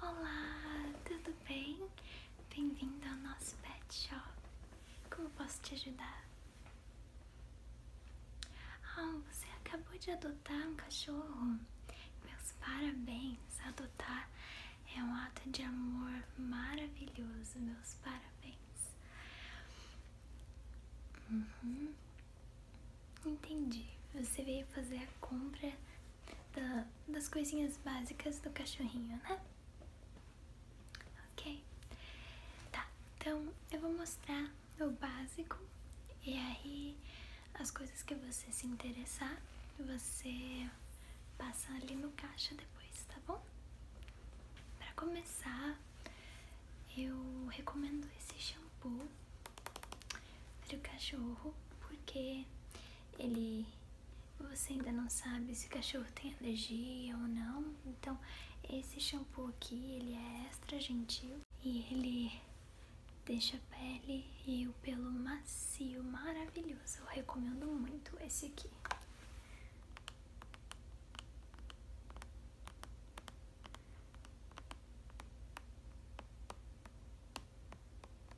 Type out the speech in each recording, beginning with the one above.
Olá, tudo bem? Bem-vindo ao nosso pet shop. Como posso te ajudar? Ah, você acabou de adotar um cachorro. Meus parabéns! Adotar é um ato de amor maravilhoso. Meus parabéns. Uhum. Entendi. Você veio fazer a compra das coisinhas básicas do cachorrinho, né? Ok? Tá, então eu vou mostrar o básico e aí as coisas que você se interessar, você passa ali no caixa depois, tá bom? Para começar, eu recomendo esse shampoo para o cachorro, porque ele você ainda não sabe se o cachorro tem alergia ou não. Então, esse shampoo aqui, ele é extra gentil e ele deixa a pele e o pelo macio, maravilhoso. Eu recomendo muito esse aqui.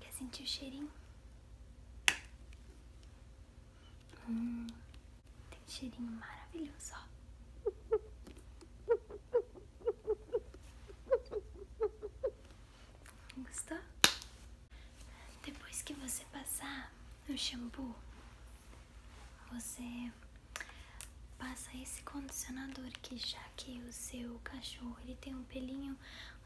Quer sentir o cheirinho? Hum, tem cheirinho maravilhoso, Gostou? Depois que você passar o shampoo você passa esse condicionador que já que o seu cachorro ele tem um pelinho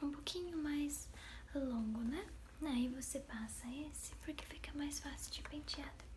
um pouquinho mais longo, né? Aí você passa esse porque fica mais fácil de pentear depois.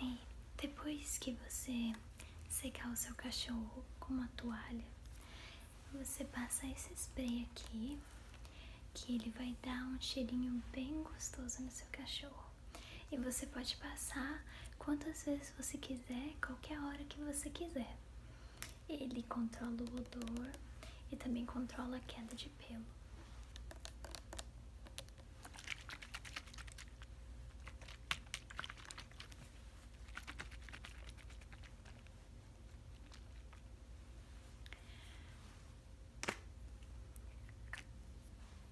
Aí, depois que você secar o seu cachorro com uma toalha, você passa esse spray aqui, que ele vai dar um cheirinho bem gostoso no seu cachorro. E você pode passar quantas vezes você quiser, qualquer hora que você quiser. Ele controla o odor e também controla a queda de pelo.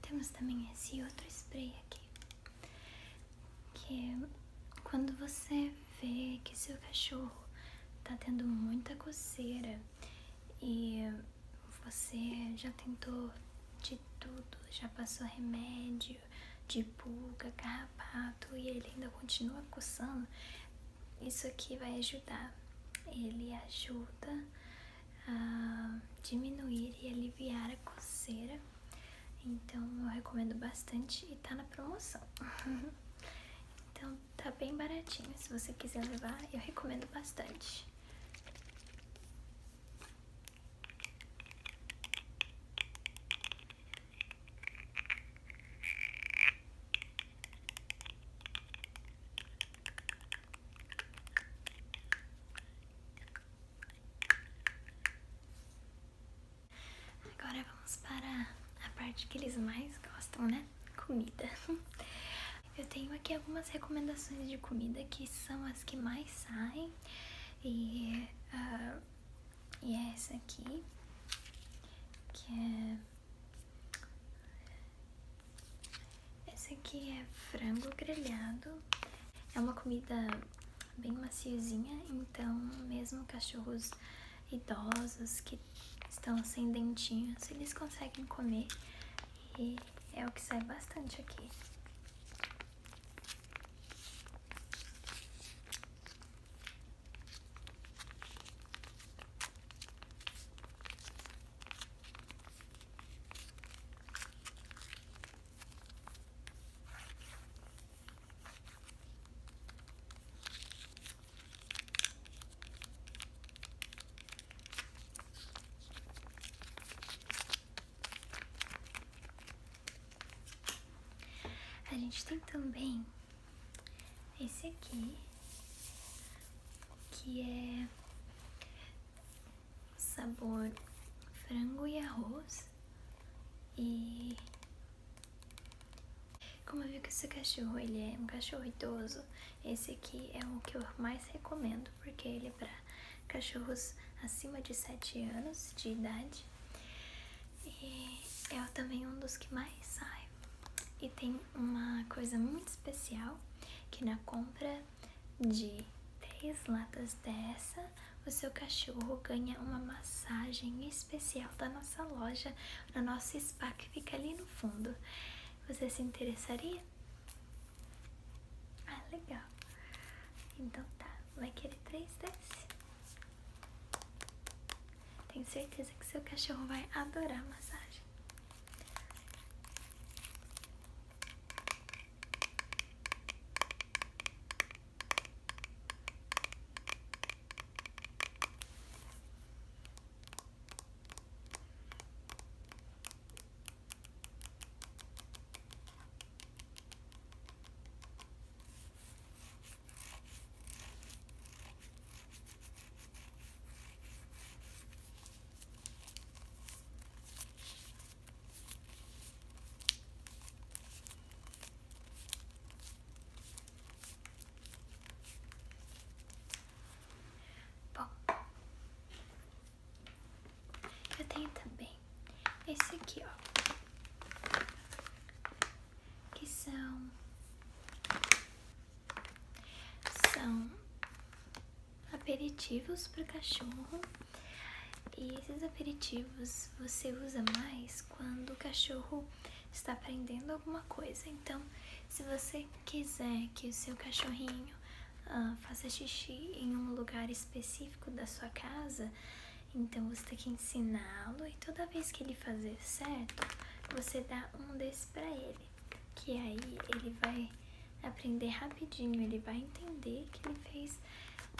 Temos também esse outro spray aqui, que é quando você vê que seu cachorro tá tendo muita coceira e você já tentou de tudo, já passou remédio de pulga, carrapato e ele ainda continua coçando, isso aqui vai ajudar. Ele ajuda a diminuir e aliviar a coceira. Então eu recomendo bastante e tá na promoção. então tá bem baratinho. Se você quiser levar, eu recomendo bastante. Agora vamos para a parte que eles mais gostam, né? Comida. Eu tenho aqui algumas recomendações de comida que são as que mais saem. E, ah, e é essa aqui, que é essa aqui é frango grelhado. É uma comida bem maciozinha, então mesmo cachorros idosos que estão sem dentinhos, eles conseguem comer e é o que sai bastante aqui. A gente tem também esse aqui, que é sabor frango e arroz. E como eu vi que esse cachorro ele é um cachorro idoso, esse aqui é o que eu mais recomendo, porque ele é para cachorros acima de 7 anos de idade. E é também um dos que mais sai. E tem uma coisa muito especial que na compra de três latas dessa, o seu cachorro ganha uma massagem especial da nossa loja, no nosso spa que fica ali no fundo. Você se interessaria? Ah, legal. Então tá, vai querer três dessas? Tenho certeza que seu cachorro vai adorar massagem. Bom, eu tenho também esse aqui, ó, que são são aperitivos para cachorro. E esses aperitivos você usa mais quando o cachorro está aprendendo alguma coisa. Então, se você quiser que o seu cachorrinho ah, faça xixi em um lugar específico da sua casa, então você tem que ensiná-lo e toda vez que ele fazer certo, você dá um desse para ele. Que aí ele vai aprender rapidinho, ele vai entender que ele fez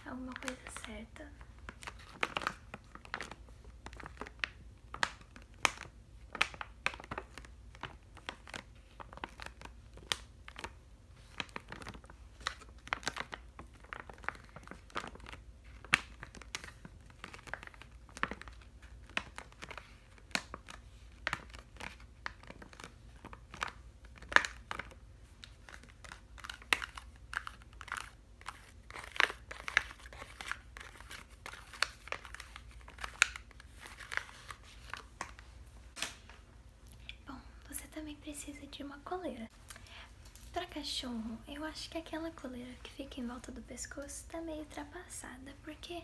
alguma coisa certa. Bom, você também precisa de uma coleira. Para cachorro, eu acho que aquela coleira que fica em volta do pescoço tá meio ultrapassada, porque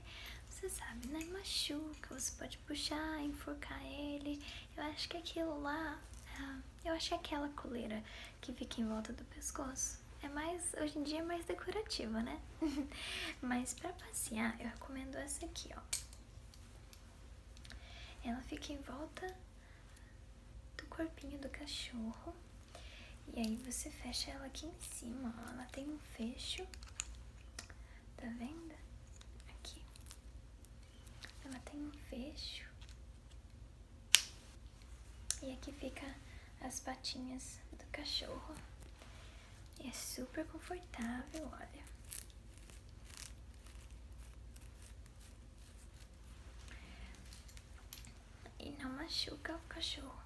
você sabe, né? Machuca, você pode puxar, enforcar ele. Eu acho que aquilo lá, ah, eu acho que aquela coleira que fica em volta do pescoço é mais, hoje em dia é mais decorativa, né? Mas pra passear, eu recomendo essa aqui, ó. Ela fica em volta do corpinho do cachorro. E aí você fecha ela aqui em cima, Ela tem um fecho. Tá vendo? Aqui. Ela tem um fecho. E aqui fica as patinhas do cachorro. é super confortável, olha e não machuca o cachorro.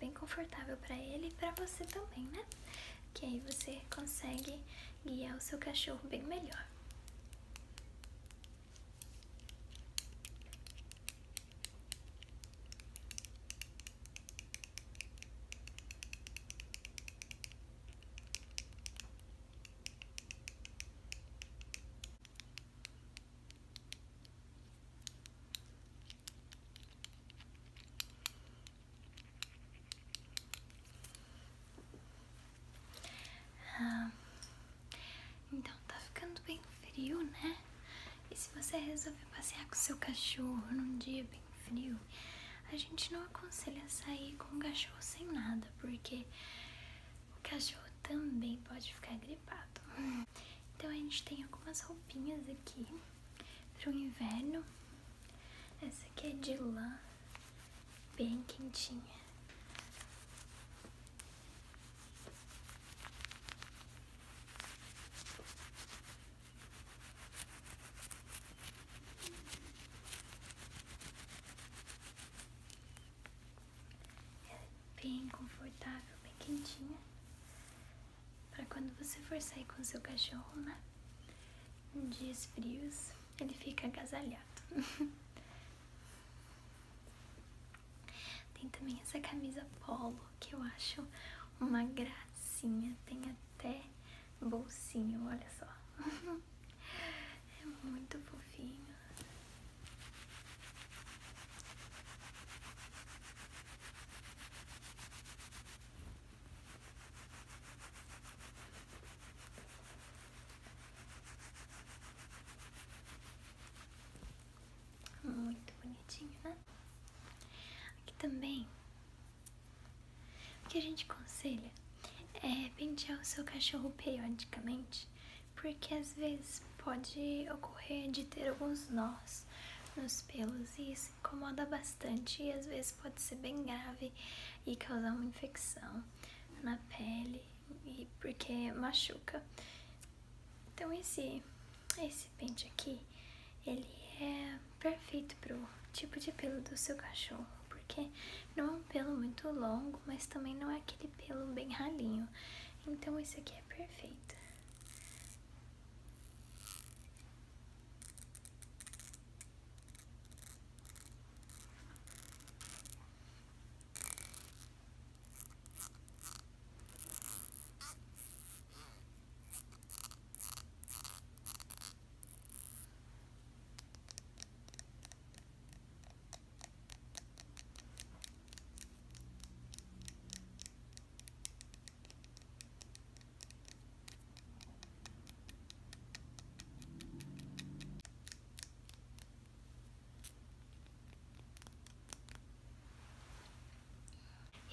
Bem confortável para ele e para você também, né? Que aí você consegue guiar o seu cachorro bem melhor. Ah, então tá ficando bem frio, né? E se você resolver passear com seu cachorro num dia bem frio, a gente não aconselha sair com o cachorro sem nada, porque o cachorro também pode ficar gripado. Então a gente tem algumas roupinhas aqui para o inverno. Essa aqui é de lã, bem quentinha é bem confortável, bem quentinha, para quando você for sair com seu cachorro, né? Em dias frios, ele fica agasalhado. Tem também essa camisa polo que eu acho uma gracinha, tem até bolsinho, olha só. é muito fofinho. Muito bonitinho, né? Aqui também, o que a gente conselha é pentear o seu cachorro periodicamente porque às vezes pode ocorrer de ter alguns nós nos pelos e isso incomoda bastante e às vezes pode ser bem grave e causar uma infecção na pele e porque machuca. Então esse esse pente aqui, ele é perfeito pro tipo de pelo do seu cachorro, porque não é um pelo muito longo, mas também não é aquele pelo bem ralinho. Então esse aqui é é perfeita.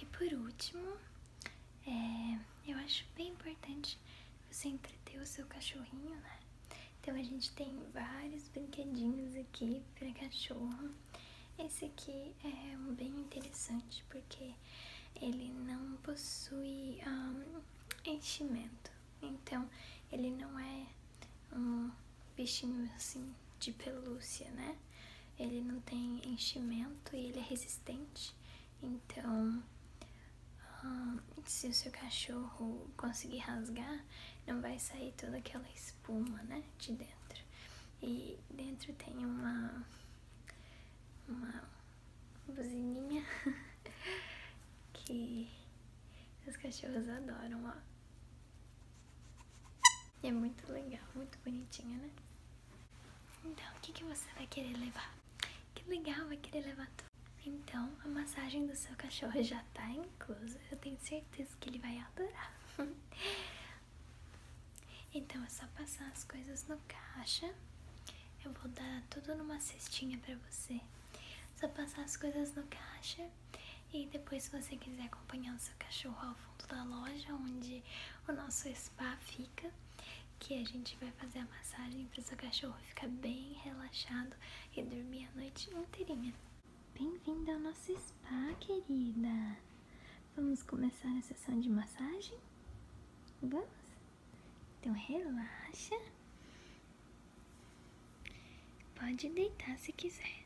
E por último, é, eu acho bem importante você entreter o seu cachorrinho, né? Então a gente tem vários brinquedinhos aqui para cachorro. Esse aqui é um bem interessante porque ele não possui enchimento, então ele não é um bichinho assim de pelúcia, né? Ele não tem enchimento e ele é resistente, então se o seu cachorro conseguir rasgar, não vai sair toda aquela espuma espuma, né? De dentro. E dentro tem uma, buzininha que os cachorros adoram, ó. é muito legal, muito bonitinha, né? Então, o que, que você vai querer levar? Que legal, vai querer levar tudo. Então, a massagem do seu cachorro já tá em Funkos. Eu tenho certeza que ele vai adorar. então é só passar as coisas no caixa. Eu vou dar tudo numa cestinha pra você. Só passar as coisas no caixa. E depois, se você quiser acompanhar o seu cachorro ao fundo da loja, onde o nosso spa fica, que a gente vai fazer a massagem para o seu cachorro ficar bem relaxado e dormir a noite inteirinha. Bem-vinda ao nosso spa, querida! Vamos começar a sessão de massagem? Vamos? Então relaxa. Pode deitar se quiser.